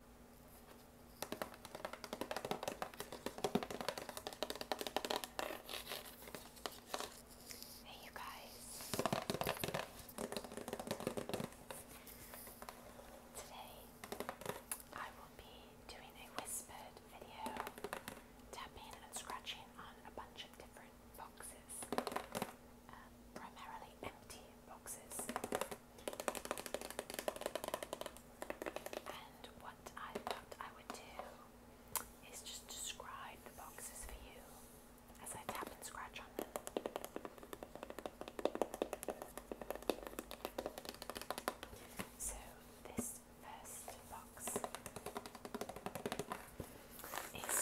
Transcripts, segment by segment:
Hey, you guys. Today I will be doing a whispered video, tapping and scratching on a bunch of different boxes, uh, primarily empty boxes. And what I thought I would do is just describe the boxes for you as I tap and scratch on them. So, this first box is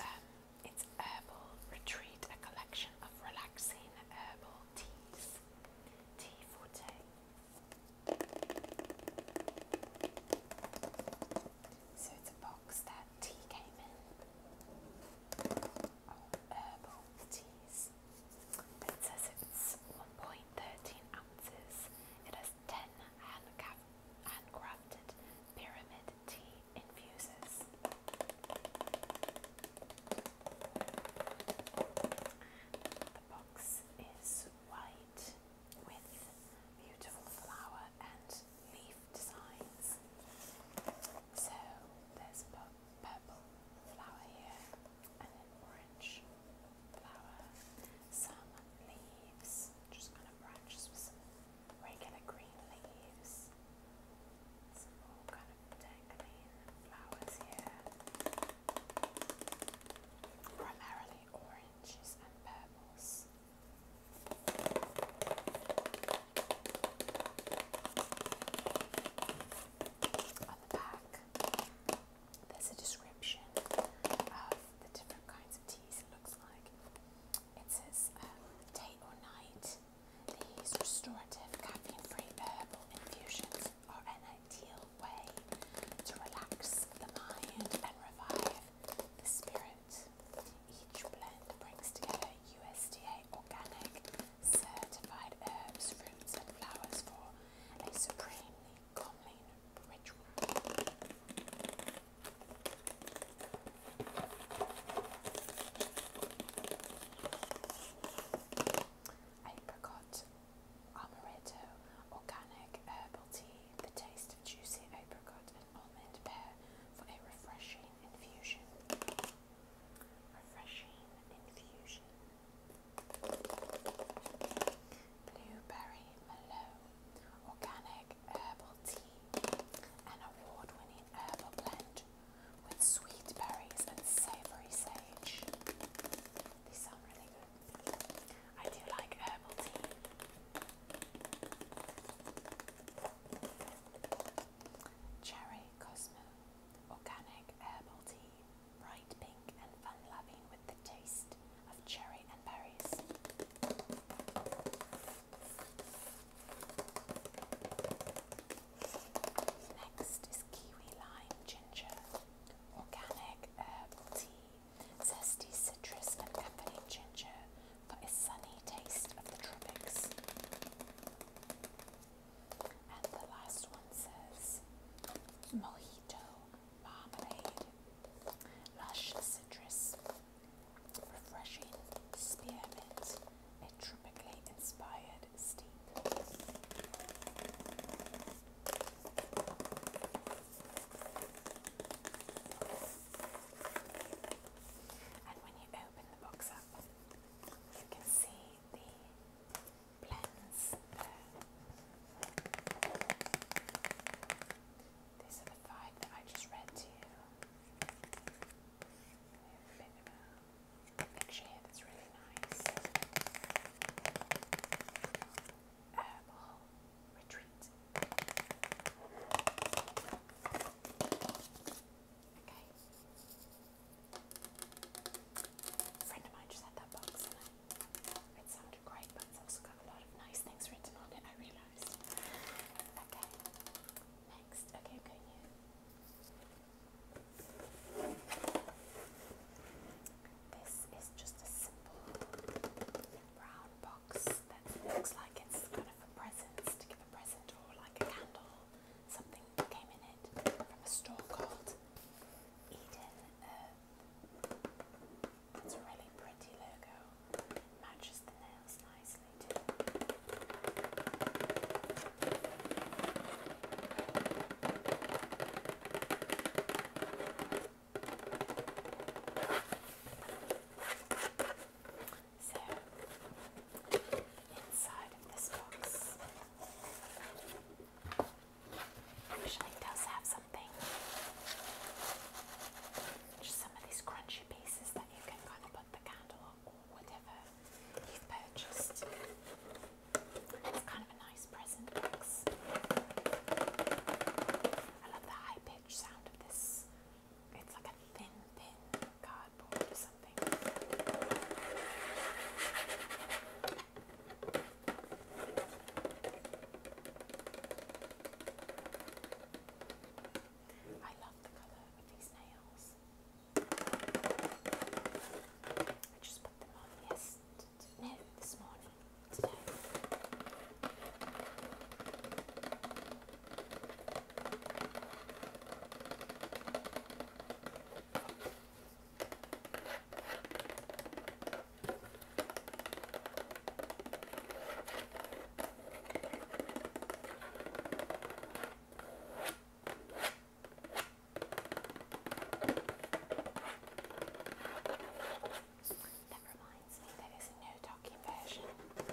um, it's Herbal Retreat, a collection of relaxing herbal teas. Tea forte. So it's a box that tea came in. Oh, herbal teas. It says it's 1.13 ounces. It has 10 handcrafted pyramid tea the box is white with beautiful flower and leaf designs. So there's purple flower here and an orange flower, some leaves, just kind of branches with some regular green leaves, some kind of dangling flowers here. Primarily oranges and purples. On the back, there's a description of the different kinds of teas looks like. It says day um, or night, these restorative caffeine-free herbal infusions are an ideal way to relax the mind and revive the spirit. Each blend brings together USDA organic certified herbs, fruits and flowers for a supremely calming ritual. Apricot Amaretto Organic Herbal Tea, the taste of juicy apricot and almond pear for a refreshing infusion. Refreshing infusion. Blueberry Mallow Organic Herbal Tea, an award winning herbal blend with sweet berries and savoury sage. These sound really good. I do like herbal tea. Cherry Cosmo Organic Herbal Tea, bright pink and fun loving with the taste of cherry and berries. Next is kiwi lime ginger, organic herbal um, tea, zesty citrus and caffeinated ginger for a sunny taste of the tropics. And the last one says mojito marmalade, lush citrus, refreshing spearmint, a tropically inspired steep. And when you open the box up, you can see the blends These are the five that I just read to you a that's really nice. friend of mine just had that box and it, sounded great, but it's also got a lot of nice things written on it, I realised. Okay next. Okay, I'm This is just a simple brown box that looks like it's kind of for presents, to give a present or like a candle. Something came in it from a store called Eden Earth. a really pretty logo matches the nails nicely too. So, inside of this box usually does have something. Just some of these crunchy pieces that you can kind of put the candle or whatever you've purchased. It's kind of a nice present box. I love the high pitch sound of this. It's like a thin, thin cardboard or something. I love the colour of these nails. I just put them on yes, this morning, that reminds me, there is a no talking version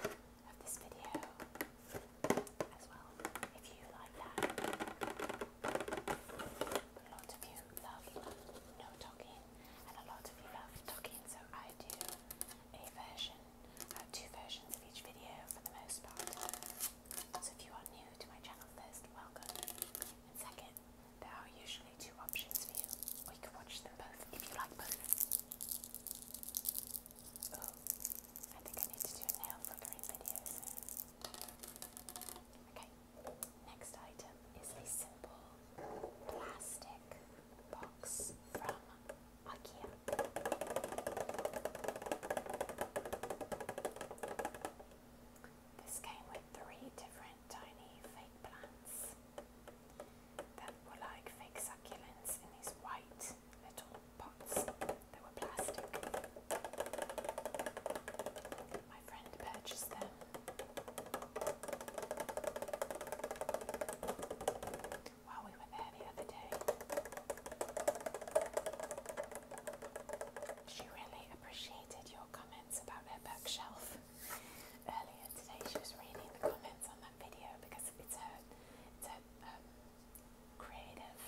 of this video as well, if you like that. A lot of you love no talking, and a lot of you love talking, so I do a version, uh, two versions of each video for the most part. So if you are new to my channel, first, welcome. And second, there are usually two options for you, or can watch them both if you like both. Oh, I think I need to do a nail flickering video soon. Okay, next item is a simple plastic box from IKEA. This came with three different tiny fake plants that were like fake succulents in these white little pots that were plastic. My friend purchased them while we were there the other day. She really appreciated your comments about her bookshelf. Earlier today she was reading the comments on that video because it's her, it's her um, creative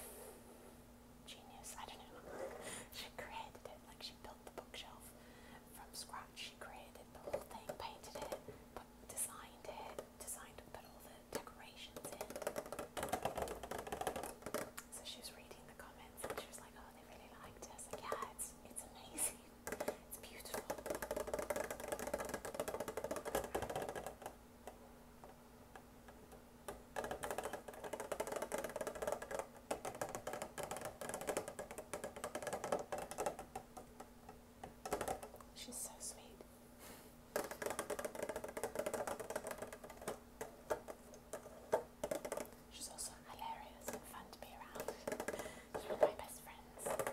genius, I don't know. she created it, like she built the bookshelf from scratch. She created the whole thing, painted it, designed it, designed to put all the decorations in. So she was reading the comments and she was like, "Oh, they really liked it." "Yeah, it's it's amazing. It's beautiful." She's so sweet. She's also hilarious and fun to be around. She's one my best friends.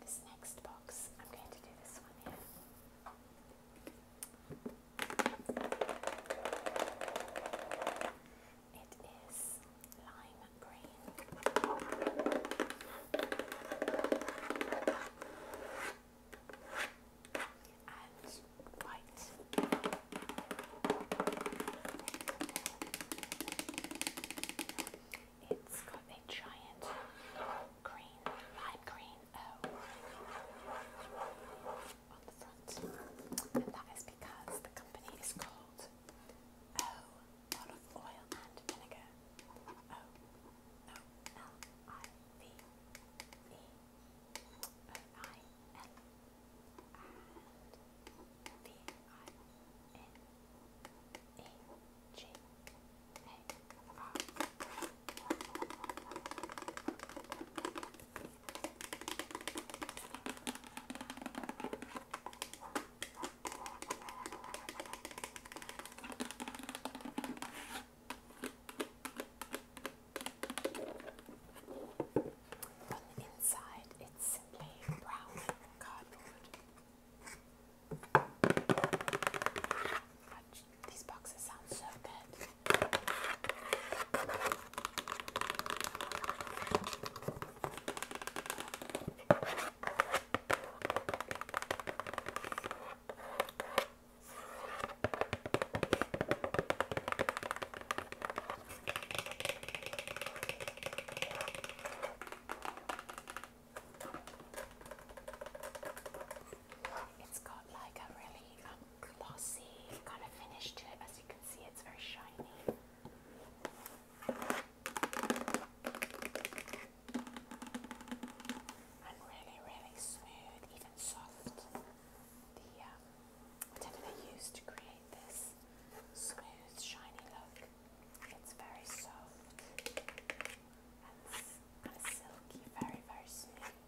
This next box, I'm going to do this one here. It is lime green. And white. It's got a giant green, lime green O. Oh on the and that is because the company is called O oh, Olive Oil and Vinegar. O O L I V E O I L and V I N E G A R. On the inside, it's simply brown cardboard. Much these boxes sound so good. It's got like a really um, glossy kind of finish to it. As you can see, it's very shiny. And really, really smooth, even soft. The um, whatever they use to create this smooth, shiny look, it's very soft and kind of silky, very, very smooth.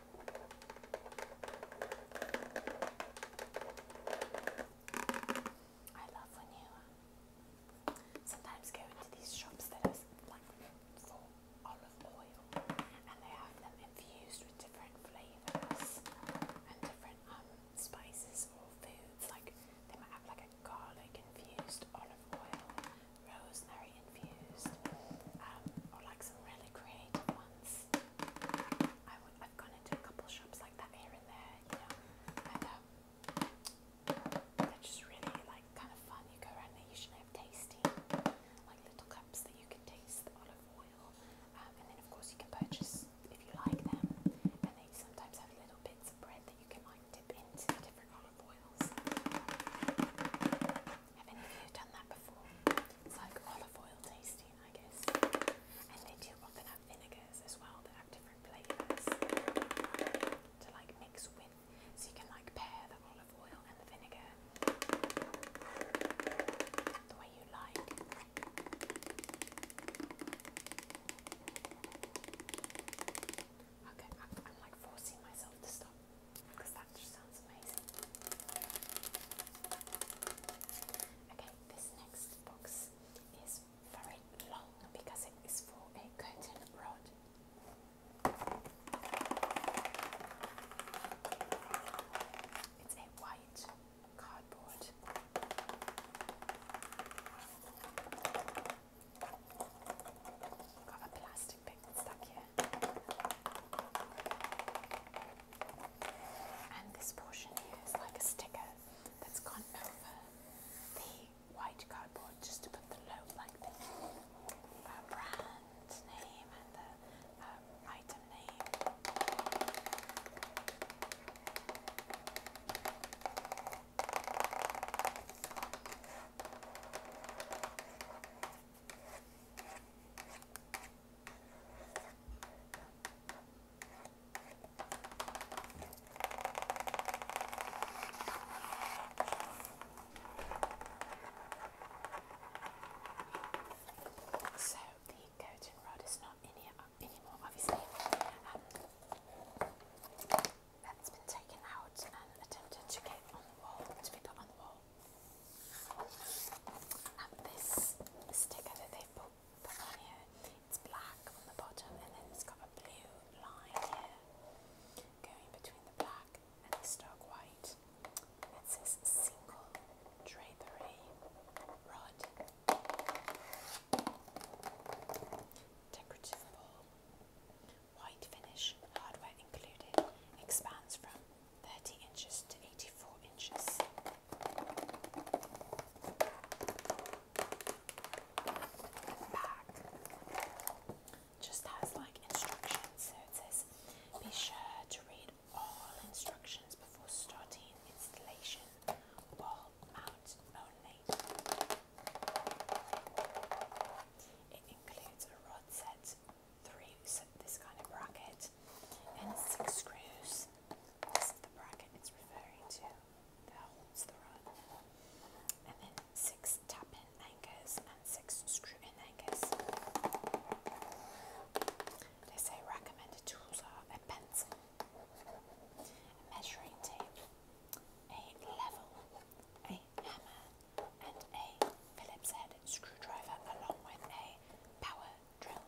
I love when you um, sometimes go into these shops that are like full olive oil and they have them infused with different flavours and different um, spices or foods. Like they might have like a garlic infused olive oil, rosemary infused, um, or like some really creative ones. I would, I've gone into a couple shops like that here and there, you know, and um, they're just really like kind of fun. You go around and they usually have tasty, like little cups that you can taste the olive oil, um, and then of course you can purchase if you like them, and they sometimes have little bits of bread that you can like dip into the different olive oils. Have any of you done that before? It's like olive oil tasting, I guess. And they do often have vinegars as well that have different flavours to like mix with. So you can like pair the olive oil and the vinegar the way you like. Okay, I'm, like forcing myself to stop because that Okay, this next box is very long because it is for a curtain rod. It's a white cardboard. I've got a plastic bit stuck here. And this portion here is like a sticker that's gone over the white cardboard just to put the logo, like the uh, brand name and the uh, item name. So the coating rod is not in here uh, anymore, obviously. Um, that's been taken out and attempted to get on the wall to be put on the wall. And this sticker that they put, here, it's black on the bottom and then it's got a blue line here going between the black and the stark white. It says single drapery rod. Decorative ball white finish, hardware included, expands from 30 inches to 84 inches. back just has like instructions, it says be sure to read all instructions before starting installation, wall mount only. It includes a rod set, three, this kind of bracket, and six screws. This is the bracket it's referring to that holds the rod. And then six tap-in anchors and six screw-in anchors. They say recommended tools are a pencil, a measuring tape, a level, a hammer and a Phillips head screwdriver along with a power drill.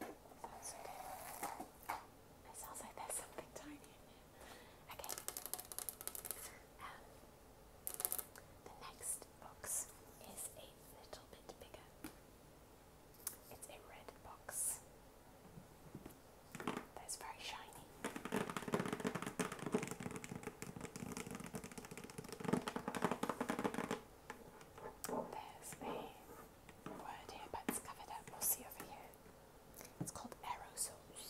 That's okay. It sounds like there's something tiny in there. Okay. Um, the next box is a little bit bigger. It's a red box. That's very shiny. There's a word here, but it's covered up. We'll see over here. It's called aerosols.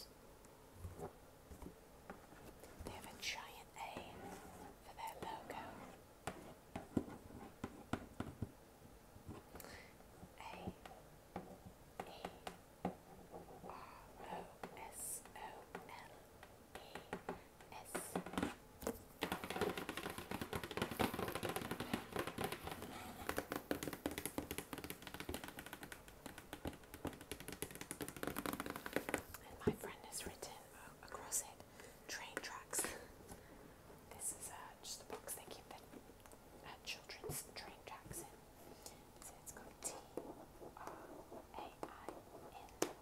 They have a giant A for their logo. A E R O S O L E and my friend has written across it train tracks. This is uh, just a box they keep the uh, children's train tracks in. it's got T R A I N T R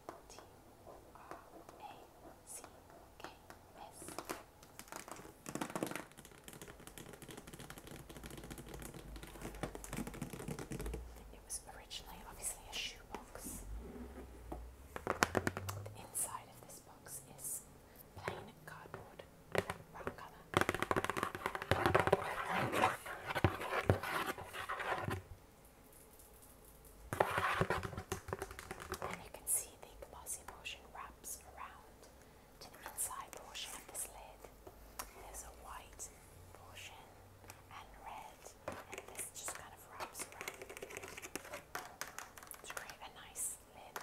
A it was originally obviously a shoebox. The inside of this box is plain cardboard brown colour. And you can see the bossy motion wraps around to the inside portion of this lid. There's a white portion and red, and this just kind of wraps around to create a nice lid.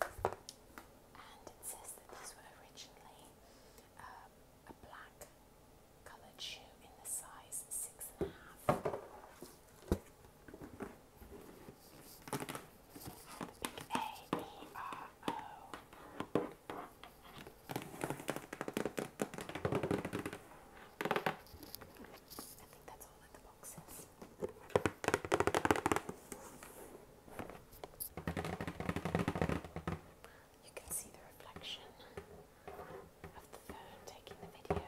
and it says that these were originally um, a black coloured shoe in the size six and a half. The think that's all that the box is. You can see the reflection of the phone taking the video.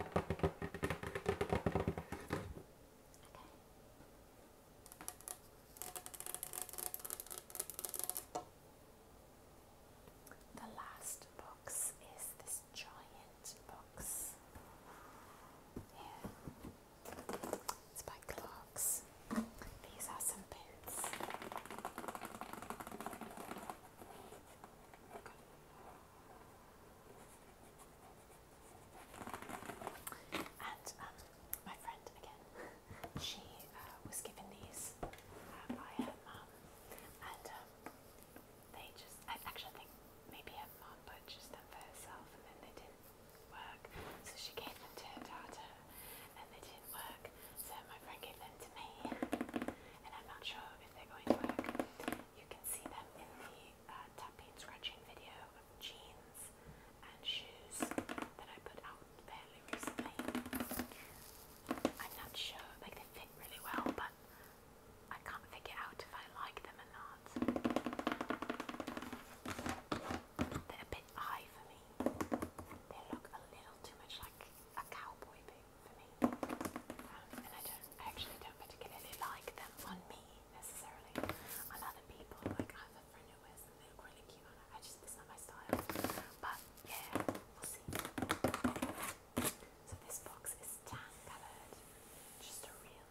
The last box is this giant box here. It's by Clarks. These are some pins. And um, my friend again, she uh, was given these uh, by her mum, and um, they just—I actually think maybe her mum purchased them for herself, and then they didn't work. So she gave them to her daughter and they didn't work. So my friend gave them to me and I'm not sure if they're going to work. You can see them in the uh, tapping scratching video of jeans and shoes that I put out fairly recently. I'm not sure, like they fit really well, but I can't figure out if I like them and knots. They're a bit high for me. They look a little too much like a cowboy boot for me. Um, and I don't actually don't particularly like them on me necessarily. On other people, like I have a friend look really cute on her. I just it's not my style. But yeah, we'll see. So this box is tan coloured. Just a real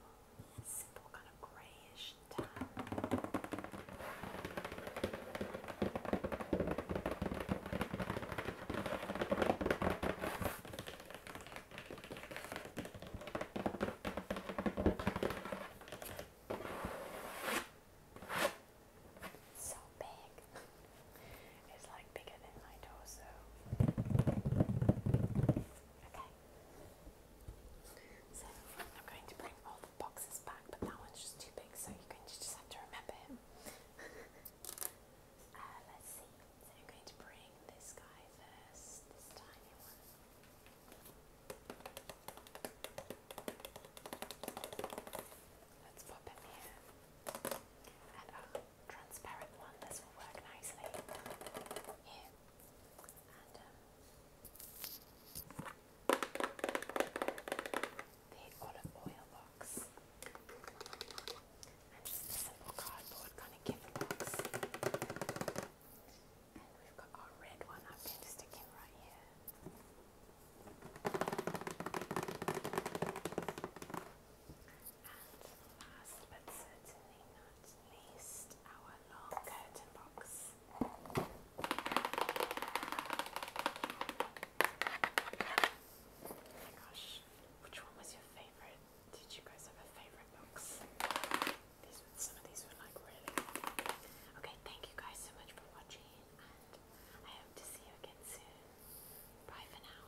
simple kind of grayish tan. so big. It's like bigger than my torso. Okay. So I'm going to bring all the boxes back, but that one's just too big, so you're going to just have to remember him. Uh, let's see. So I'm going to bring this guy first, this tiny one. Let's pop him here. Um, transparent one. This will work nicely here. Um, the olive oil box. And just a simple cardboard kind of gift box. And we've got our red one. I'm going right here. And last but certainly not least, our long curtain box. Oh my gosh, which one was your favorite? Did you guys have a favorite box? some of these were like really. Okay, thank you guys so much for watching, and I hope to see you again soon. Bye for now.